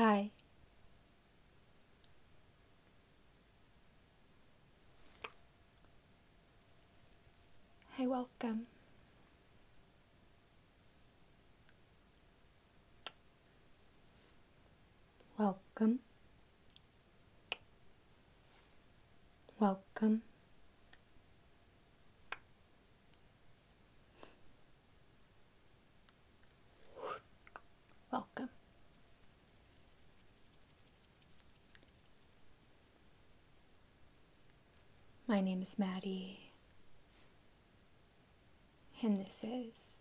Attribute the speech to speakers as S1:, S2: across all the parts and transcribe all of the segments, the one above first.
S1: hai Hi, welcome. Welcome. Welcome. Welcome. My name is Maddie, and this is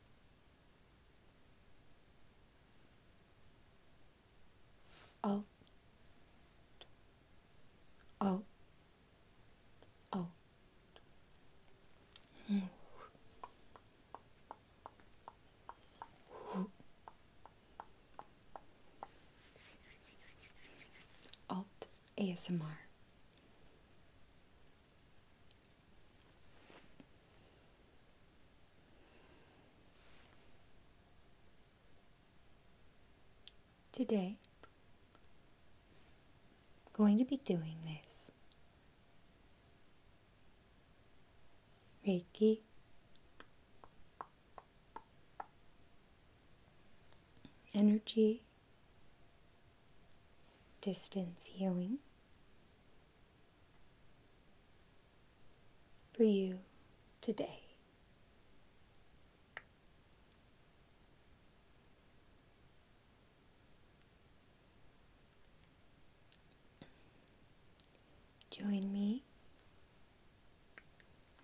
S1: Oh. Oh. Oh. Hmm. Alt ASMR. Today, I'm going to be doing this Reiki energy distance healing for you today. Join me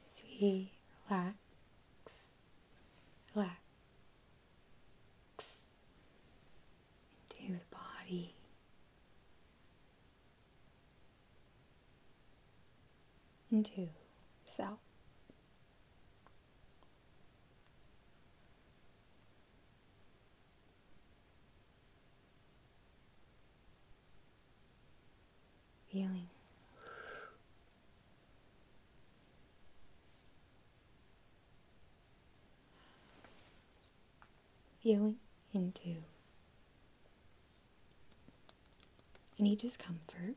S1: as we relax, relax into the body into this out. Feeling feeling into any discomfort.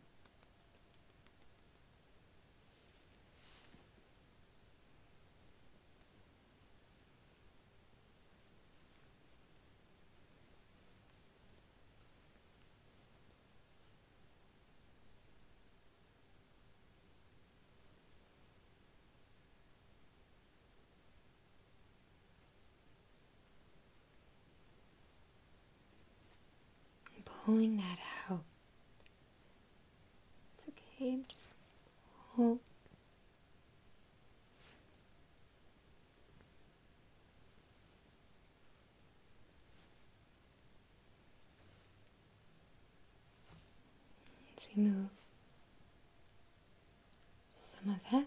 S1: And pulling that out. It's okay, just hold. Let's remove some of that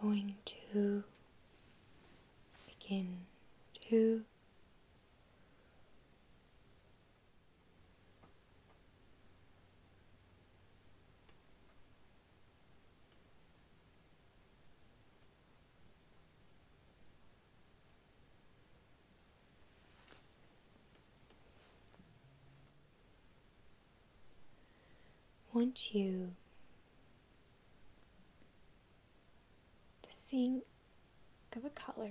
S1: Going to begin to want you to think of a color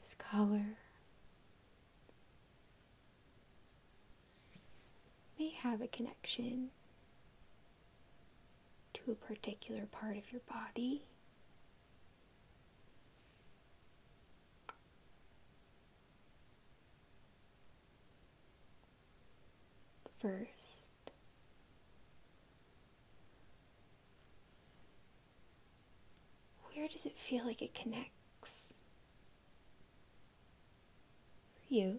S1: this color may have a connection to a particular part of your body. First, where does it feel like it connects? you.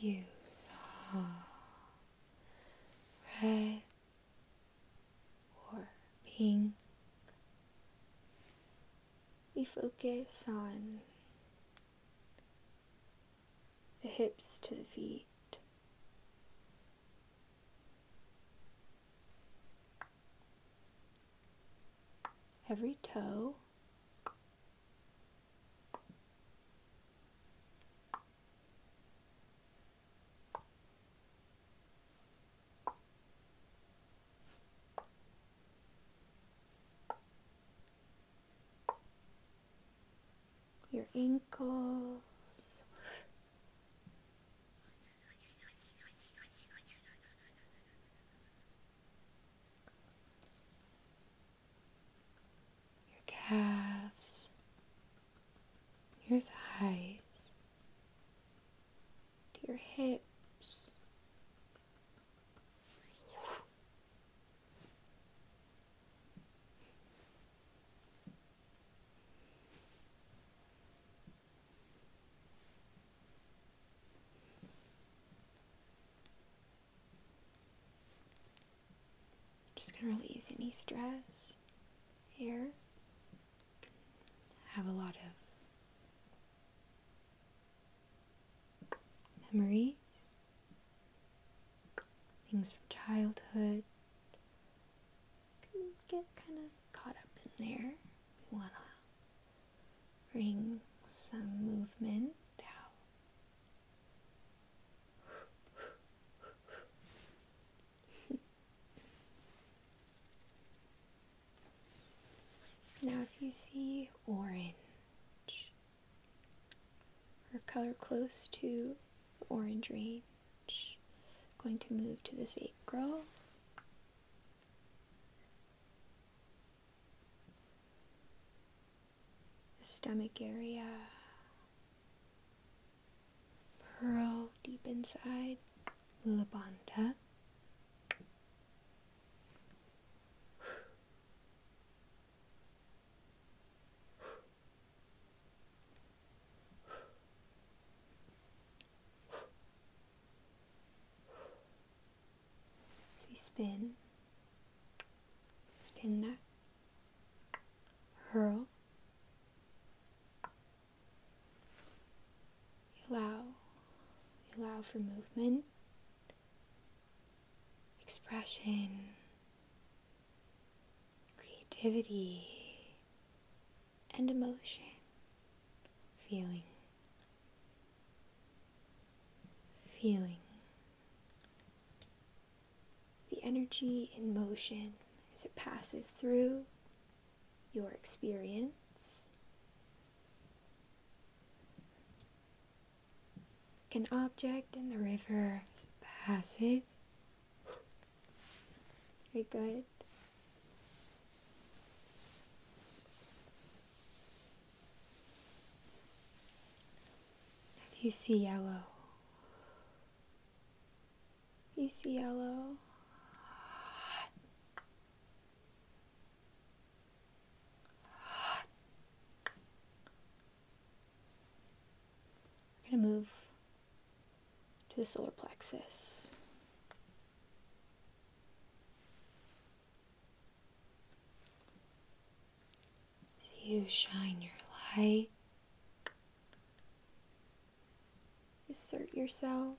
S1: views are red or pink. We focus on the hips to the feet. Every toe your ankles your calves, your thighs, your hips. Just going to release any stress here. have a lot of memories, things from childhood. Can get kind of caught up in there. We want to bring some movement out now, if you see orange or color close to orange range, going to move to this acral the stomach area, pearl deep inside, Mulabandha. So we spin, spin that hurl, allow, allow for movement, expression, creativity, and emotion, feeling, feeling the energy in motion as it passes through your experience like an object in the river passes very good now you see yellow. You see yellow. We're going to move to the solar plexus. So you shine your light, assert yourself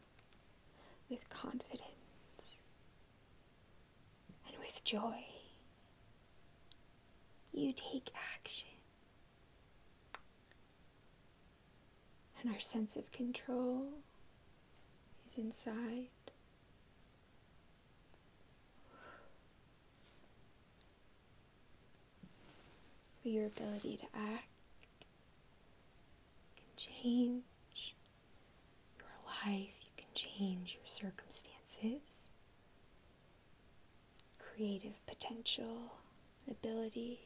S1: with confidence and with joy. You take action. And our sense of control is inside but your ability to act can change your life, you can change your circumstances, creative potential, ability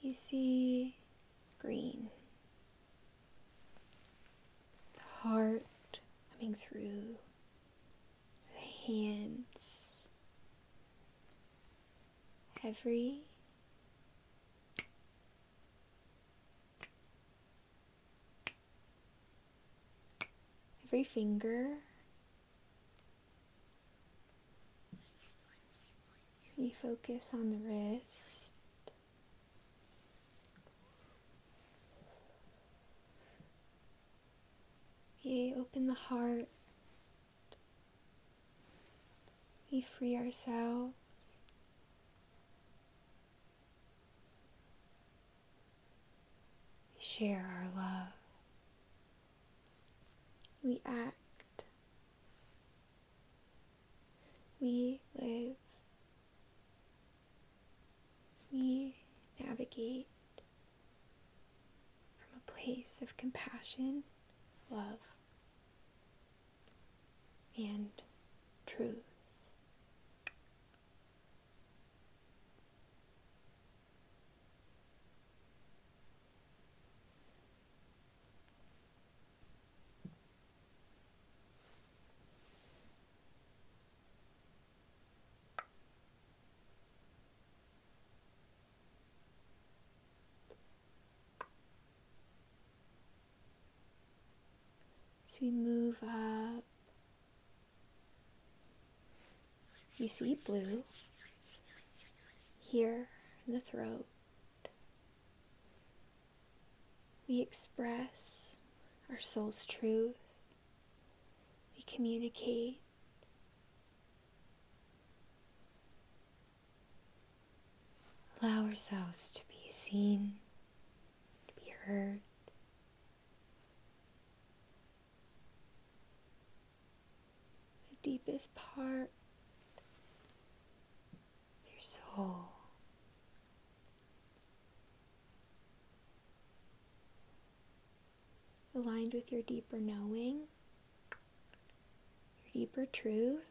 S1: you see green. The heart coming through, the hands, every every finger we focus on the wrist. We open the heart. We free ourselves. We share our love. We act. We live. We navigate from a place of compassion, love, and truth. So we move up. You see blue, here in the throat, we express our soul's truth, we communicate. Allow ourselves to be seen, to be heard the deepest part of your soul. Aligned with your deeper knowing, your deeper truth.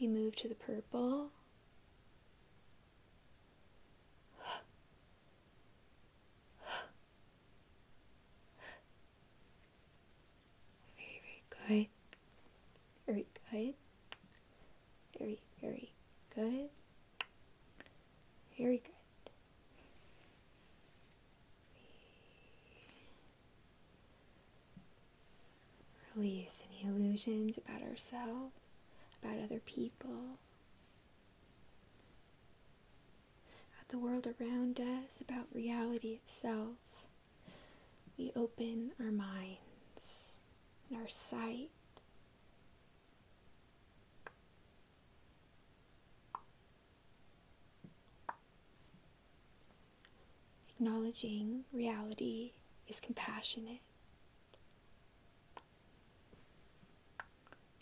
S1: We move to the purple. Very, very good. Very good. Very, very good. Very good. Release any illusions about ourselves, about other people, at the world around us, about reality itself. We open our minds and our sight. Acknowledging reality is compassionate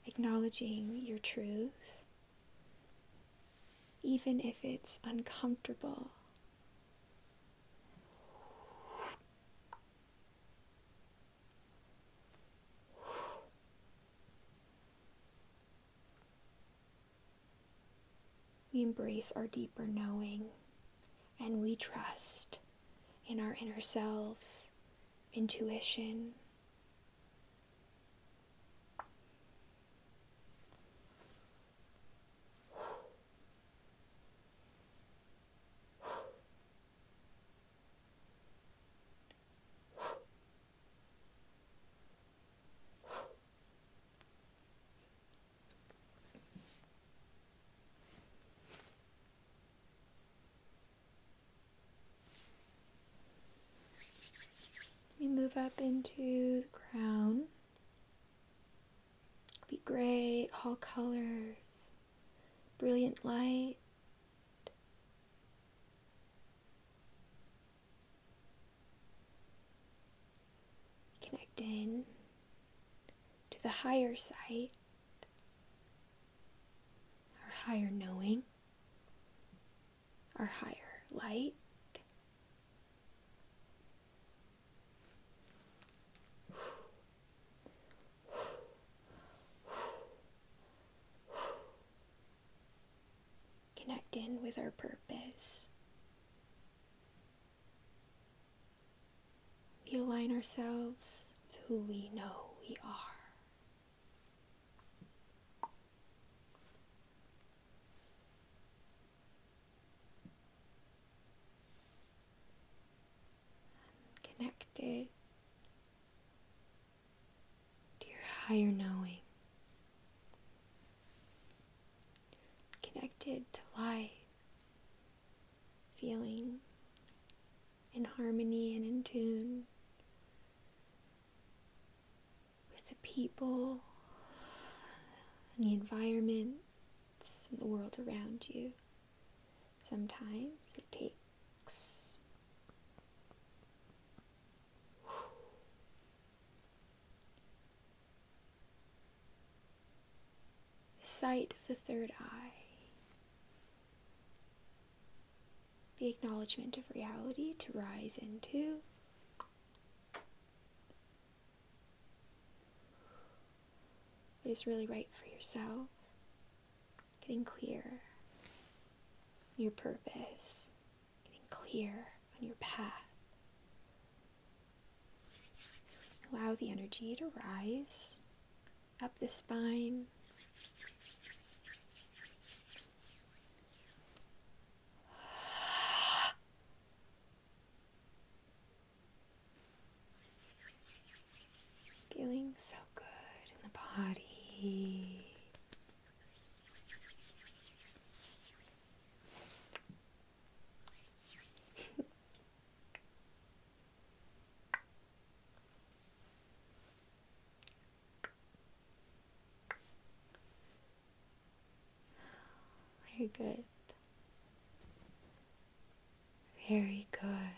S1: acknowledging your truth, even if it's uncomfortable. We embrace our deeper knowing and we trust in our inner selves intuition. We move up into the crown. be gray, all colors, brilliant light. Connect in to the higher sight our higher knowing, our higher light. Connect in with our purpose. We align ourselves to who we know we are connected to your higher knowing, connected to life feeling in harmony and in tune with the people and the environments and the world around you. Sometimes it takes sight of the third eye the acknowledgement of reality to rise into. What is really right for yourself, getting clear your purpose, getting clear on your path. Allow the energy to rise up the spine. Feeling so good in the body. Very good. Very good.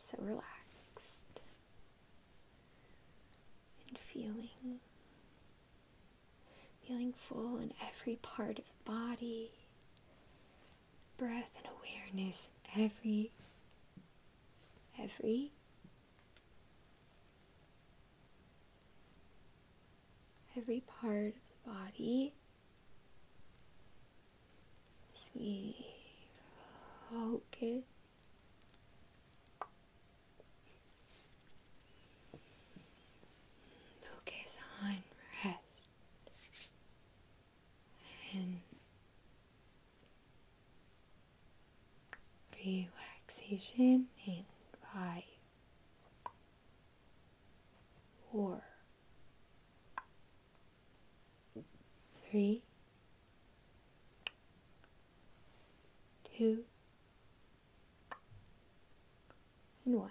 S1: So relaxed and feeling, feeling full in every part of the body, breath and awareness every every every part of the body as we focus focus on rest and relaxation in five, four, three, two, and one.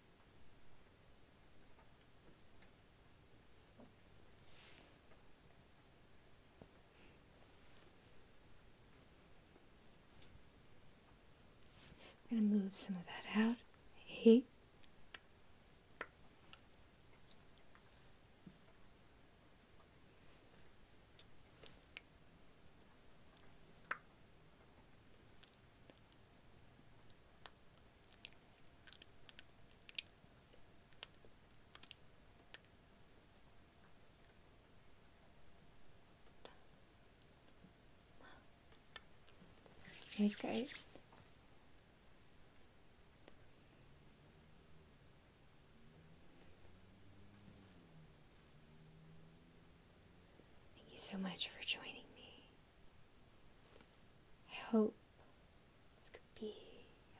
S1: I'm going to move some of that out. Hey. Here's Thank you so much for joining me. I hope this could be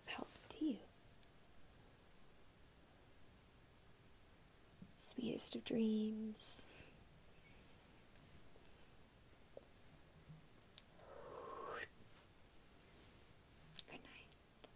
S1: of help to you. Sweetest of dreams. Good night.